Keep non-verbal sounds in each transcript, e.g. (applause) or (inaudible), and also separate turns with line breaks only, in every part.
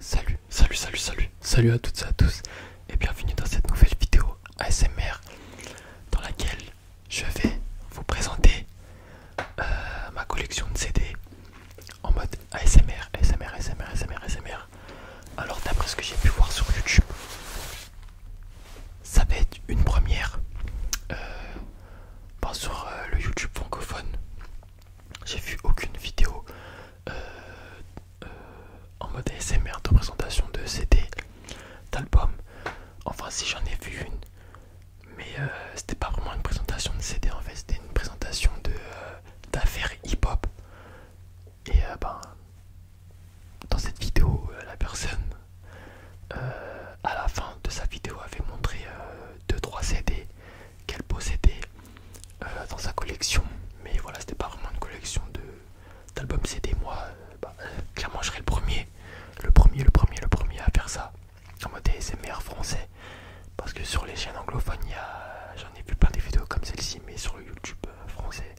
Salut, salut, salut, salut, salut à toutes et à tous et bienvenue dans cette nouvelle vidéo ASMR dans laquelle je vais vous présenter euh, ma collection de CD en mode ASMR, ASMR, ASMR, ASMR, ASMR. Alors d'après ce que j'ai pu voir sur YouTube, ça va être une première euh, bah, sur euh, le YouTube francophone j'ai vu aucune vidéo euh, euh, en mode ASMR de présentation de CD, d'album. Enfin, si j'en ai vu une, mais euh, c'était pas vraiment une présentation de CD en fait, c'était une présentation d'affaires hip-hop. Et ben, dans cette vidéo, la personne à la fin de sa vidéo avait montré 2-3 CD qu'elle possédait euh, dans sa collection. Mais voilà, c'était pas vraiment une collection d'albums CD. Moi, euh, bah, euh, clairement, je serais le premier, le premier, le premier, le premier à faire ça en mode ASMR français. Parce que sur les chaînes anglophones, j'en ai vu plein des vidéos comme celle-ci, mais sur le YouTube français,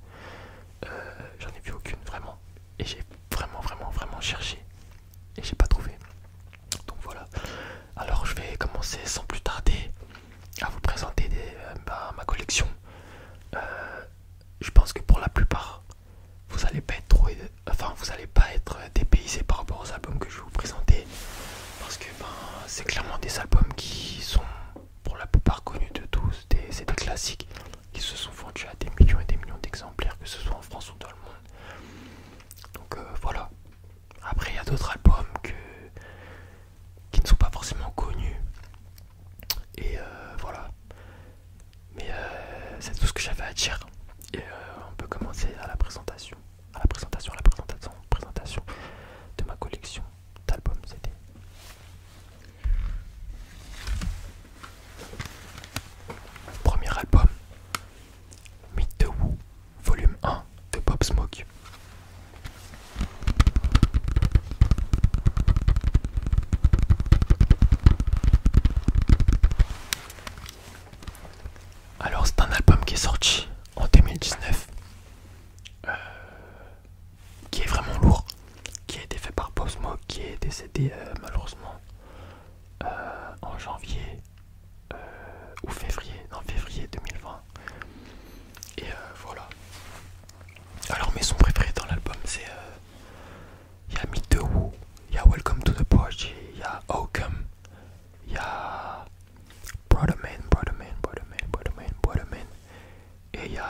j'en ai vu aucune vraiment. Et j'ai vraiment, vraiment, vraiment cherché. Et j'ai pas trouvé. Donc voilà. Alors je vais commencer sans plus tarder à vous présenter euh, ma, collection. Euh, je pense que pour la plupart, vous allez pas être trop, enfin vous n'allez pas être dépaysé par rapport aux albums que je vais vous présenter, parce que ben, c'est clairement des albums qui sont pour la plupart connus de tous, c'est des classiques qui se sont vendus à des millions et des millions d'exemplaires, que ce soit en France ou dans le monde. Donc euh, voilà. Après il y a d'autres albums que qui ne sont pas forcément connus. Et euh, voilà. Mais euh, c'est tout ce que j'avais à dire. Et euh, on peut commencer à la présentation. À la présentation, la présentation, présentation de ma collection d'albums c'était Premier album, Meet the Woo volume 1 de Pop Smoke. Alors c'est un album qui est sorti en 2019, euh, qui est vraiment lourd, qui a été fait par Pop Smoke, qui est décédé euh, malheureusement euh, en janvier euh, ou février, non février 2020. Et euh, voilà. Alors mes sons préférés dans l'album c'est il euh, y a Meet the Woo il y a Welcome to the Project, il y a Oakham, il y a Brother Man, Brother Man, Brother Man, Brother Man, Brother Man, et il y a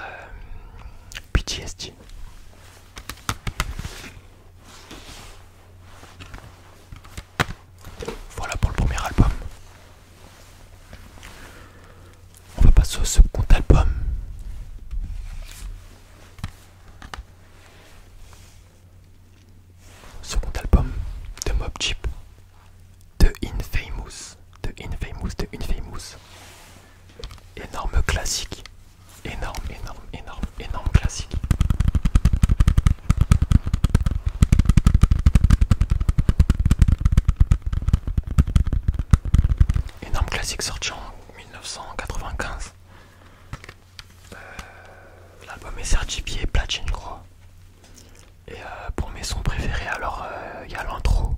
Voilà pour le premier album. On va passer au second album. Second album de Mob Chip, de Infamous, de Infamous, de Infamous. Énorme classique, énorme, énorme, énorme, énorme classique. Énorme classique sorti en 1995. Euh, l'album est certifié platine, crois. Et euh, pour mes sons préférés, alors il euh, y a l'intro.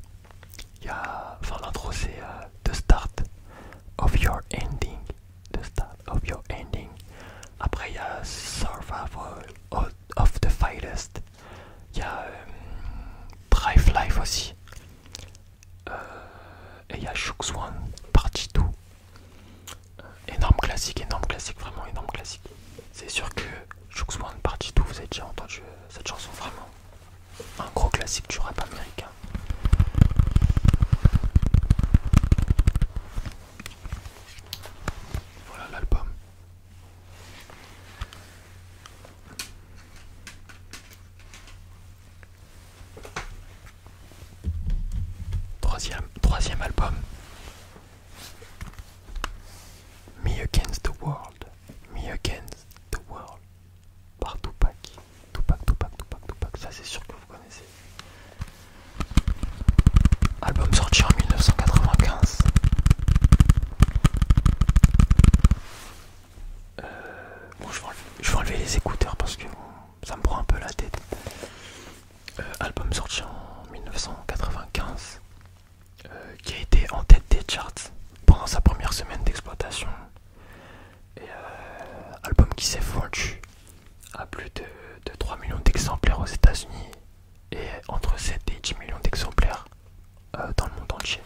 Enfin, l'intro c'est The Start of Your Ending. The Start of Your Ending. Après, il y a Survival of of the finest », Il y a euh, Drive Life aussi. Euh, et il y a Shook Party partie 2. Euh, énorme classique, énorme classique, vraiment énorme classique. C'est sûr que Shook One partie 2, vous avez déjà entendu cette chanson, vraiment. Un gros classique du rap américain. Voilà l'album. Troisième, album. Me Against the World. Me Against the World. Par Tupac. Tupac, Tupac, Tupac, Tupac. Ça c'est sûr que vous connaissez. Album sorti en 1995. Euh, bon, je vais, enlever, les écouteurs parce que ça me prend un peu la tête. Euh, album sorti en 1995 euh, qui a été en tête des charts pendant sa première semaine d'exploitation. Et album qui s'est vendu à plus de, de 3 millions d'exemplaires aux États-Unis et entre 7 et 10 millions d'exemplaires euh, dans le monde entier.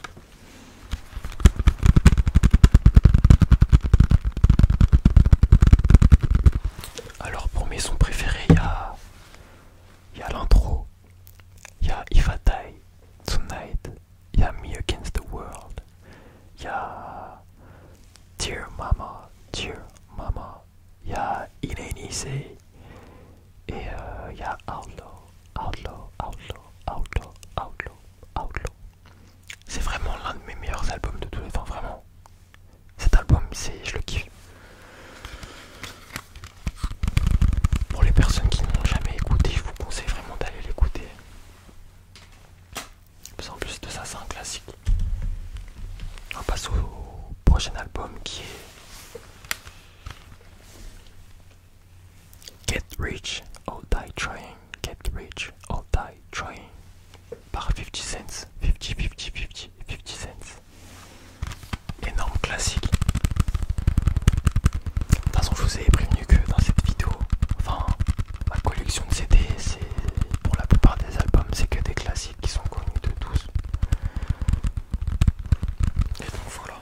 Alors pour mes sons préférés, il y a, y a l'intro, il y a If I Die Tonight, il y a Me Against the World, il y a Dear Mama, Dear Mama, il y a et il y a Outlaw, Outlaw, Outlaw, Outlaw, Outlaw, C'est vraiment l'un de mes meilleurs albums de tous les temps, vraiment. Cet album, je le kiffe. Pour les personnes qui n'ont jamais écouté, je vous conseille vraiment d'aller l'écouter. En plus de ça, c'est un classique. On passe au prochain album qui est Get rich or die trying. Get rich or die trying. Par 50 cents. 50, 50, 50, 50 cents. Énorme classique. De toute façon, je vous ai prévenu que dans cette vidéo, enfin, ma collection de CD, pour la plupart des albums, c'est que des classiques qui sont connus de tous. Et donc voilà.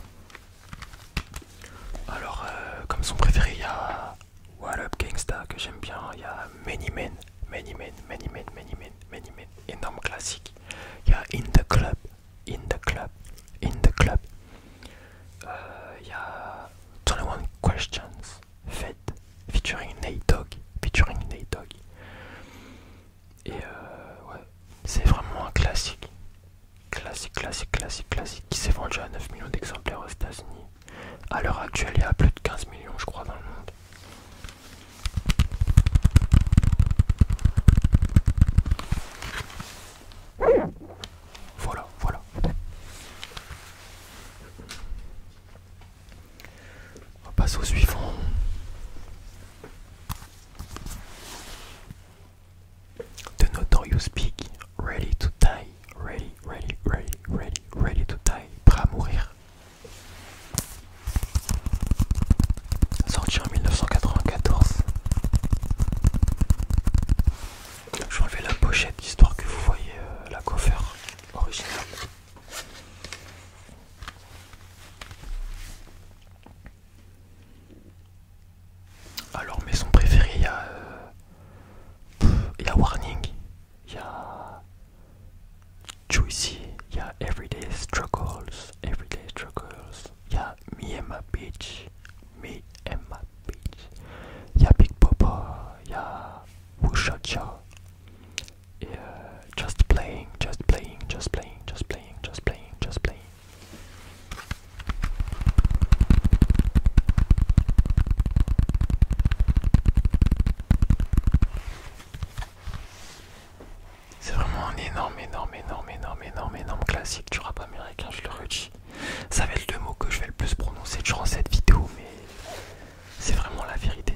Alors, euh, comme son préféré, il y a What Up Gangsta que j'aime bien. Il y a Many Men, Many Men, Many Men, Many Men, Many Men, énorme classique. Il y a In the Club, In the Club, In the Club. Euh, il y a 21 Questions, Fed, featuring Nate Dog featuring Nate Dog et euh, c'est vraiment un classique. Classique, classique, classique, classique. Qui s'est vendu à 9 millions d'exemplaires aux États-Unis. À l'heure actuelle, il y a plus de 15 millions, je crois, dans le monde. Voilà, voilà. On passe au suivant. The Notorious Peak. Ready to Die, Ready, Ready, Ready, Ready, Ready to Die, Prêt à mourir. Sorti en 1994. Je vais la pochette histoire que vous voyez euh, la coiffeur originale. Alors mes sons préférés, il y a... Euh, il y a Warning, il y a... Juicy, il y a Everyday Struggles, Everyday Struggles, il y a Me and My Bitch, Me and My Bitch, il y a Big Papa, il y a Wusha Cha, Et euh, just playing, just playing, just playing, just playing, just playing, just playing. C'est vraiment un énorme, énorme, énorme, énorme, énorme, énorme classique du rap américain, je le redis. Ça va être le mot que je vais le plus prononcer durant cette vidéo, mais c'est vraiment la vérité.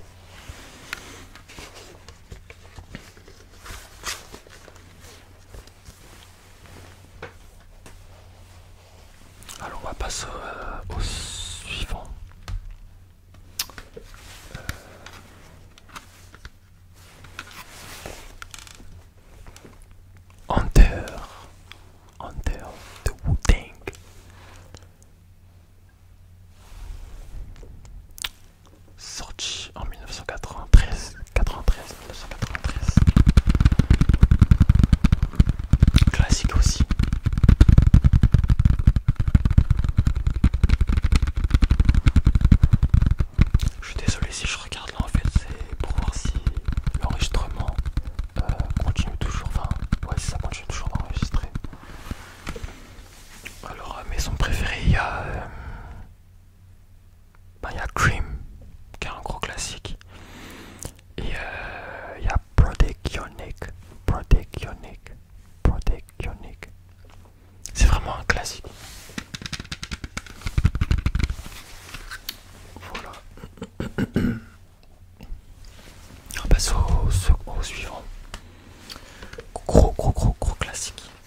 Alors on va passer euh, au, suivant. Euh, Hunter, Hunter de wu Sorti en 1993, 93, 1993. Classique aussi. Je suis désolé si je regarde là en fait, c'est pour voir si l'enregistrement euh, continue toujours. Enfin, ouais, si ça continue toujours d'enregistrer. Alors, euh, maison préférée, il y a. Euh, ben, il y a Cream, qui est un gros classique. Et euh, il y a Prodigionic. Prodigionic. Prodigionic. C'est vraiment un classique. Voilà. (coughs) On passe au suivant. Gros, gros, gros, gros classique.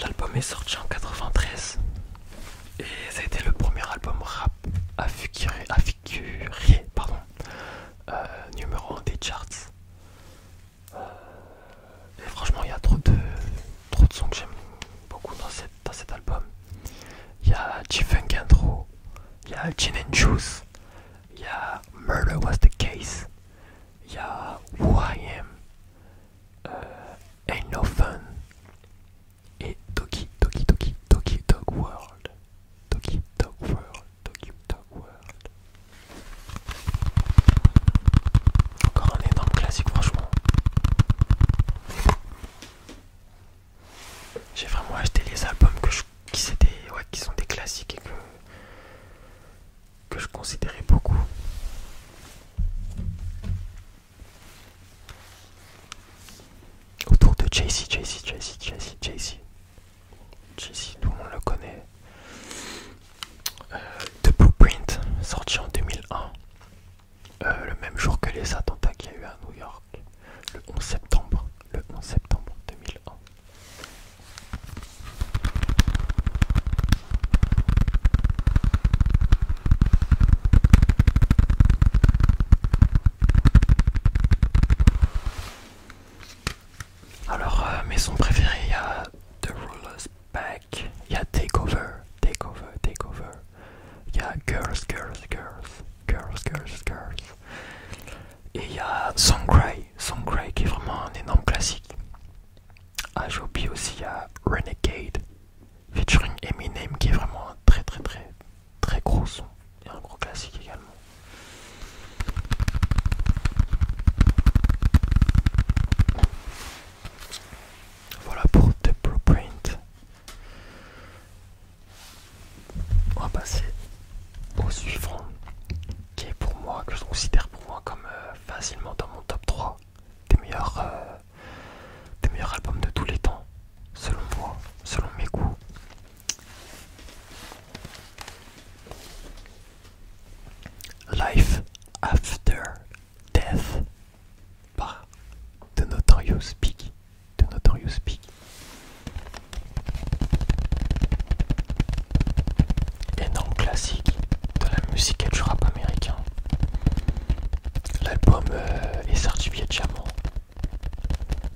L'album est sorti en 93 et c'était le premier album rap à figurer, à numéro 1 des charts. Euh, et franchement, il y a trop de, trop sons que j'aime beaucoup dans, cet album. Il y a g il y a Gin Juice, il y a Murder Was the Case, il y a Who I Am, Ain't No Fun et Toki Toki Toki Toki Dog World. Toki Dog World. Toki Dog World. Encore un énorme classique franchement. J'ai vraiment acheté les albums qui, qui sont des classiques et que, que je considérais beaucoup. Autour de JC, JC, JC, JC, JC. JC, tout le monde le connaît. Euh, The Blueprint, sorti en 2001. Euh, le même jour que les attentats qu'il y a eu à New York. Le 11 septembre. Le 11 septembre 2001. Alors, euh, mes sons préférés, il y a The Ruler's Back, il y a Takeover, Takeover, Takeover, il y a Girls, Girls, Girls, Girls, Girls, Girls, et il y a Song Cry, qui est vraiment un énorme classique. Ah, aussi, a Renegade, featuring Eminem qui est vraiment un très très très très gros son et un gros classique également. Voilà pour The Blueprint. On va passer au suivant qui est pour moi, que je considère pour moi comme euh, facilement dans mon top 3 des meilleurs euh, des meilleurs albums de tous les temps, selon moi, selon mes goûts. Life After Death par The Notorious Big. The Notorious Big. Énorme classique de la musique et du rap américain. L'album euh, est certifié diamant.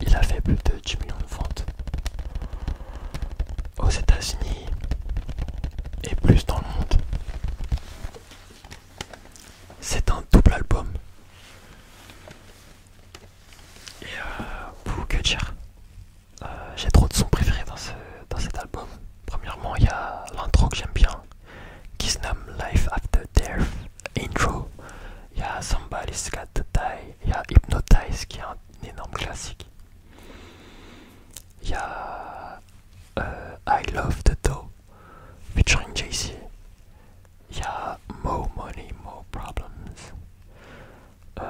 Il a fait plus de 10 millions de ventes aux États-Unis et plus dans le monde. C'est un double album. Et euh, pour que euh, j'ai trop de sons préférés dans cet album. Premièrement, il y a l'intro que j'aime bien qui se nomme Life After Death Intro. Il y a Somebody's Got to Die, il y a Hypnotize qui est un énorme classique. Il y a euh, I Love the Dough featuring Jay-Z. Il y a More Money, More Problems. Euh,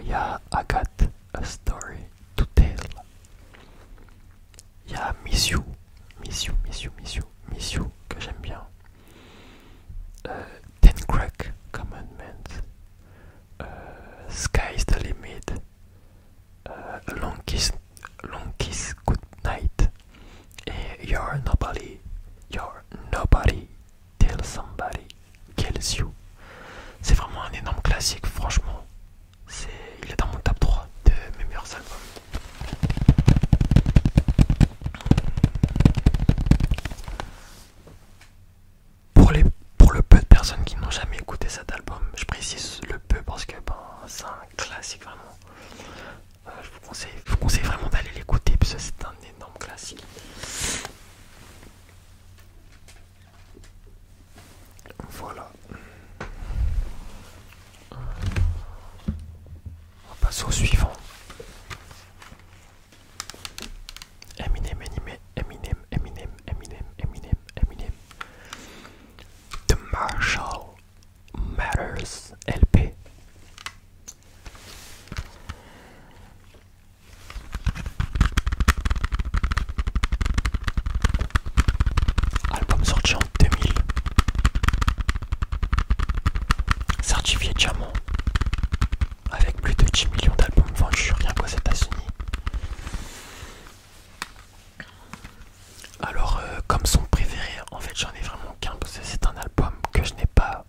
il y a I Got a Story to Tell il y a Miss You, Miss You, Miss que j'aime bien. Euh, Ten Crack Commandments, euh, Sky's the Limit. Euh, long, kiss, long Kiss Goodnight. Et You're Nobody. You're Nobody Till Somebody Kills You. C'est vraiment un énorme classique, franchement il est dans mon top 3 de mes meilleurs albums. Pour, les, pour le peu de personnes qui n'ont jamais écouté cet album, je précise le peu parce que ben, c'est un classique vraiment. Euh, je, vous conseille, je vous conseille vraiment d'aller l'écouter parce que c'est un énorme classique. Voilà. On passe au suivant. Eminem, Eminem, Eminem, Eminem, Eminem, Eminem, Eminem. The Marshall Matters LP. Album sorti en 2000. Certifié diamant. Avec plus de 10 millions d'albums vendus rien qu'aux États-Unis. Alors, euh, comme son préféré, en fait, j'en ai vraiment qu'un parce que c'est un album que je n'ai pas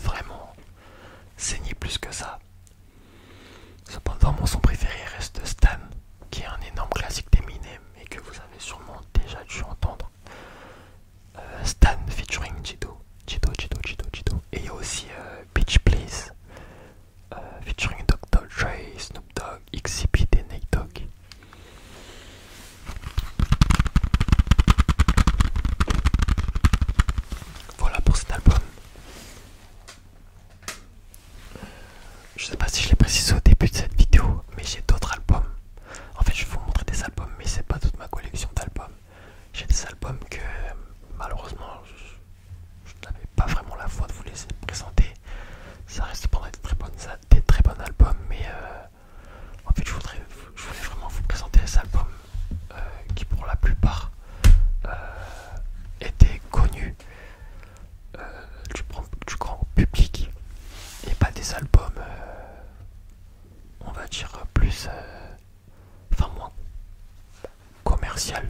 vraiment saigné plus que ça. Cependant, mon son préféré reste Stan qui est un énorme classique des d'Eminem et que vous avez sûrement déjà dû entendre. Euh, Stan featuring Jido, Jido, Jido, Jido, Et il y a aussi euh, Beach Please euh, featuring featuring Dr. Dre, Snoop Dogg, Xzibit, et Nate Dogg. Voilà pour cet album. Je ne sais pas si je l'ai précisé au début de cette vidéo, mais j'ai d'autres albums. En fait, je vais vous montrer des albums, mais c'est pas toute ma collection d'albums. J'ai des albums que malheureusement je, n'avais pas vraiment la foi de vous laisser présenter. Ça reste pendant des très, bons albums, mais euh, en fait, je, voulais vraiment vous présenter des albums euh, qui, pour la plupart, euh, étaient connus euh, du, grand public et pas des albums euh, on va dire plus euh, enfin moins commercial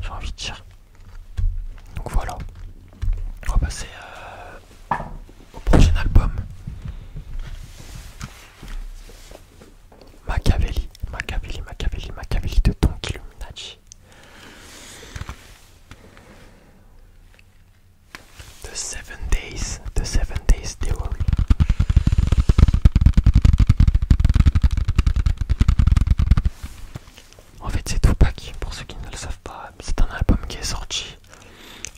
j'ai envie de dire donc voilà on va passer au prochain album Machiavelli Machiavelli Machiavelli Machiavelli de Don The Seven Days, The Seven Days En fait, c'est Tupac, pour ceux qui ne le savent pas, c'est un album qui est sorti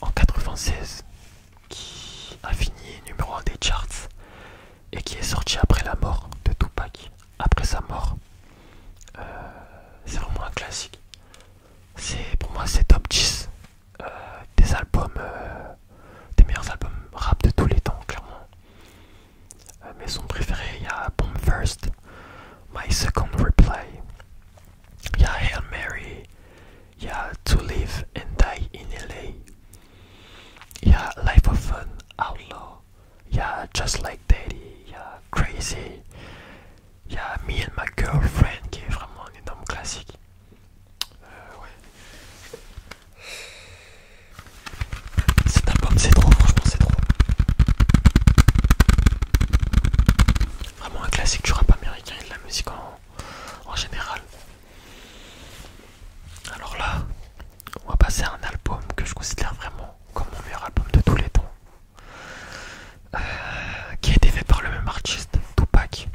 en 96, qui a fini numéro 1 des charts et qui est sorti après la mort de Tupac après sa mort. Euh, c'est vraiment un classique. pour moi c'est top 10 euh, des albums, euh, des meilleurs albums rap de tous les temps, clairement. mes sons préférés, il y a Bomb First, My Second Reply, il y a Hail Mary, il y a To Live and Die in LA, il y a Life of Fun, Outlaw, il y a Just Like Daddy, il y a Crazy, il y a Me and My Girlfriend qui est vraiment un énorme classique. Euh, ouais. Cet album c'est trop, franchement c'est trop. Vraiment un classique du rap américain et de la musique en, en général. Alors là, on va passer à un album que je considère vraiment comme mon meilleur album de tous les temps. Euh, qui a été fait par le même artiste, Tupac,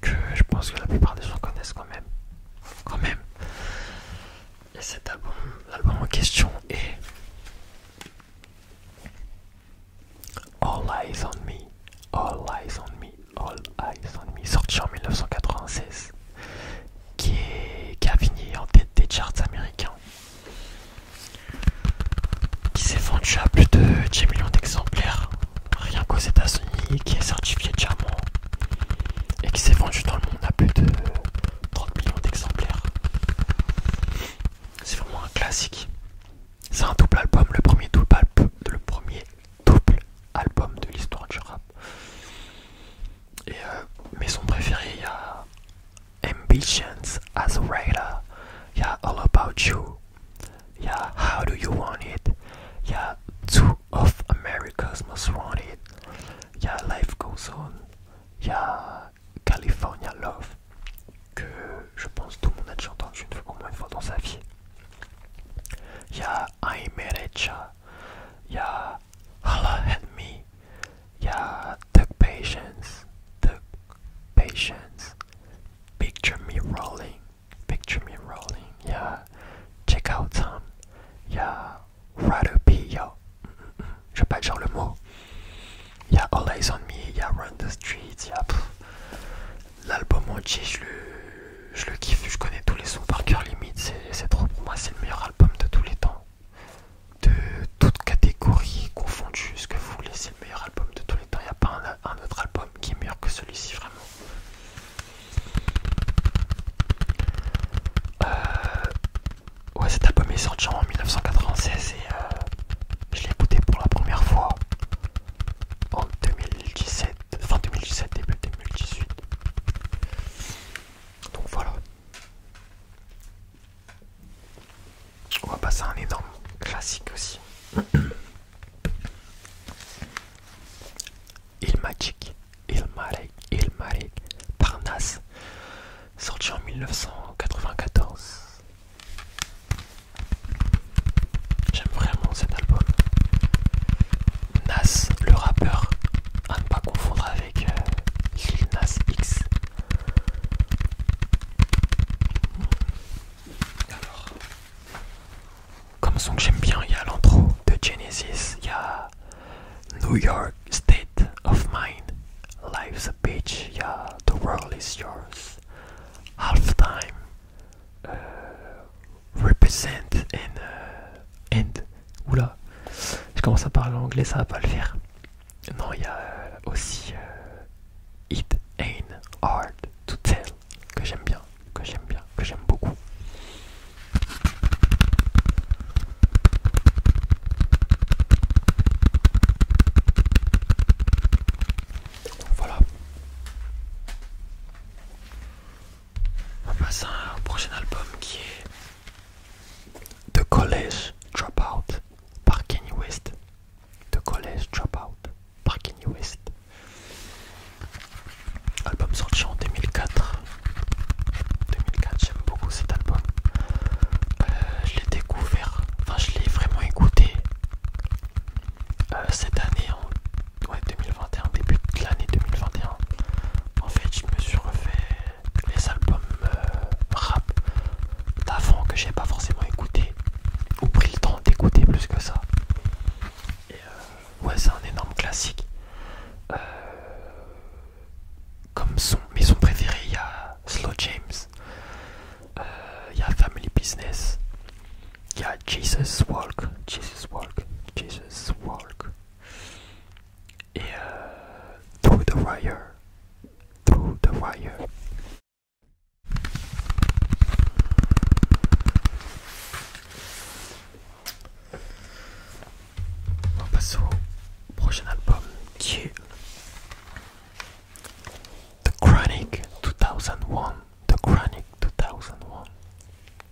que je pense que la plupart des gens connaissent quand même. Et cet album, l'album en question est All Eyes on Me, All Eyes on Me, All Eyes on Me, sorti en 1996, qui, qui a fini en tête des charts américains qui s'est vendu à plus de 10 millions d'exemplaires, rien qu'aux États-Unis, qui est certifié diamant et qui s'est vendu dans le monde à plus de 30 millions d'exemplaires. C'est vraiment un classique. C'est un double album, le premier double album, le premier double album de l'histoire du rap. Et euh, mais son préféré, il y a ambitions as a writer yeah all about you yeah how do you want it yeah two of america's most wanted yeah life goes on yeah california love que je pense tout le monde a déjà une fois au une fois dans sa vie yeah i made it yeah Allah Holla me, yeah, take patience, took patience. Picture me rolling, picture me rolling, yeah. Check out some, yeah. Rather yo. Je vais pas le mot. Yeah, all eyes on me, yeah, run the streets, yeah. L'album entier, je le, kiffe, je connais tous les sons par cœur limite, c'est trop pour moi, c'est le meilleur album de tous les temps de toutes catégories confondues, ce que vous voulez, c'est le meilleur album de tous les temps. Il n'y a pas un, autre album qui est meilleur que celui-ci, vraiment. Euh, ouais, cet album est sorti en 1996 et euh, je l'ai écouté pour la première fois en 2017, 2017, début 2018. Donc voilà, on va passer à un énorme classique aussi. (clears throat) Il il il Ilmarek, par Nas, sorti en 1994. J'aime vraiment cet album. Nas, le rappeur, à ne pas confondre avec euh, Lil Nas X comme son que j'aime bien, il y a l'intro de Genesis, il y a New York State of Mind, Life's a bitch, il y a The World is Yours, Half Time, euh, Represent and euh, End. Oula, je commence à parler anglais, ça va pas le faire. Non, il y a euh, aussi euh, It Ain't Hard to Tell que j'aime bien, que j'aime bien, que j'aime beaucoup. Voilà. On passe à prochain album qui est The College Dropout par West, The College Dropout par West. Album sorti en 2004. 2004, j'aime beaucoup cet album. Euh, je l'ai découvert, enfin je l'ai vraiment écouté euh, cette année, en ouais, 2021, début de l'année 2021. En fait, je me suis refait les albums euh, rap d'avant que j'ai pas forcément écouté ou pris le temps d'écouter plus que ça. Et euh, ouais, c'est un énorme classique. Euh, comme son, maison préférée il y a Slow James, il y a Family Business, il y a Jesus Walk, Jesus Walk, Jesus Walk et euh, Through the Wire. Through the Wire. On passe au prochain album qui est The Chronic 2001. The Chronic 2001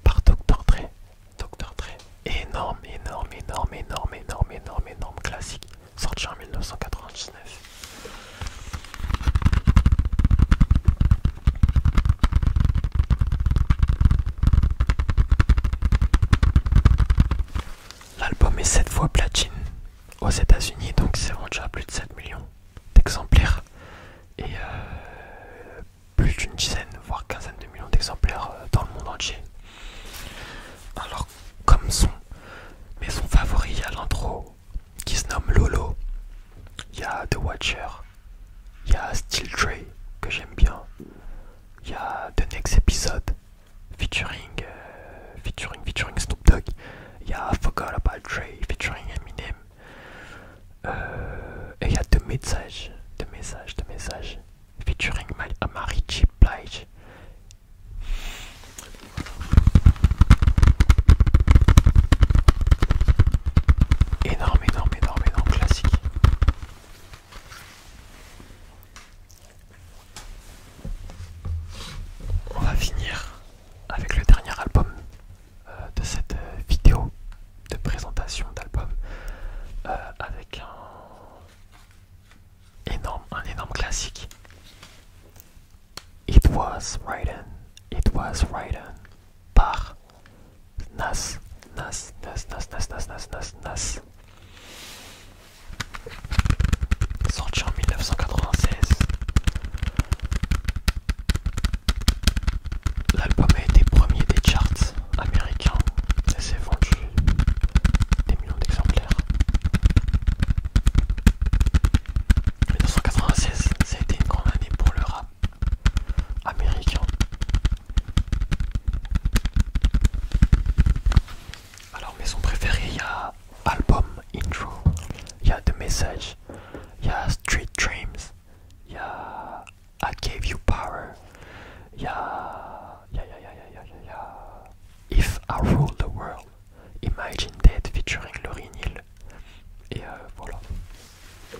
par Dr. Dre. Dr. Dre. Énorme, énorme, énorme, énorme, énorme, énorme, énorme classique sorti en 1999. L'album est 7 fois platine aux États-Unis, donc c'est vendu à plus de 7 millions d'exemplaires et euh, plus d'une dizaine, voire quinzaine de millions d'exemplaires euh, dans le monde entier. Alors, comme son mais son favori à l'intro, qui se nomme Lolo. Il y a The Watcher, il y a Steel Dre, que j'aime bien, il y a The Next Episode, featuring, euh, featuring, featuring Snoop Dogg, il y a Forgot About Dre, featuring Eminem, euh, et il y a The Message, The Message, The Message featuring marie J. Blige. Énorme, énorme, énorme, énorme classique. On va finir avec le dernier album euh, de cette euh, vidéo de présentation d'album euh, avec un énorme, un énorme classique. It was written It was written par Nas, Nas, Nas, Nas, Nas, Nas, Nas, Nas, Nas. Sorti en 1996. L'album est été premier des charts américains et c'est vendu des millions d'exemplaires. 1996, c'était une grande année pour le rap américain. Alors maison préféré il y a album intro, il y a The Message, il y a Street Dreams, il y a I Gave You Power, il y a, y a, y a, y a, y a If I Rule the World, Imagine Dead featuring Lauryn Hill. Et euh, voilà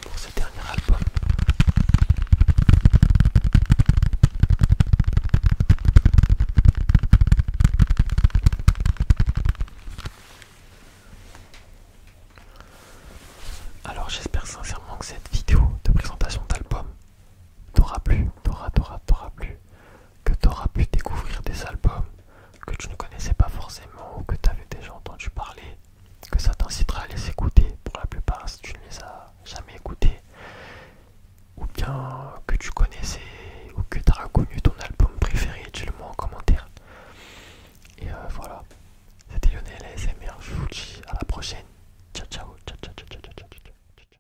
pour ce dernier album. Alors j'espère sincèrement que cette vidéo de présentation d'album t'aura plu, t'aura, t'aura, t'aura plu que tu auras pu découvrir des albums que tu ne connaissais pas forcément ou que tu avais déjà entendu parler, que ça t'incitera à les écouter pour la plupart si tu ne les as jamais écoutés, ou bien que tu connaissais ou que tu auras connu ton album préféré, dis-le-moi en commentaire. Et euh, voilà, c'était Lionel ASMR, je vous dis à la prochaine. ciao ciao ciao ciao. ciao.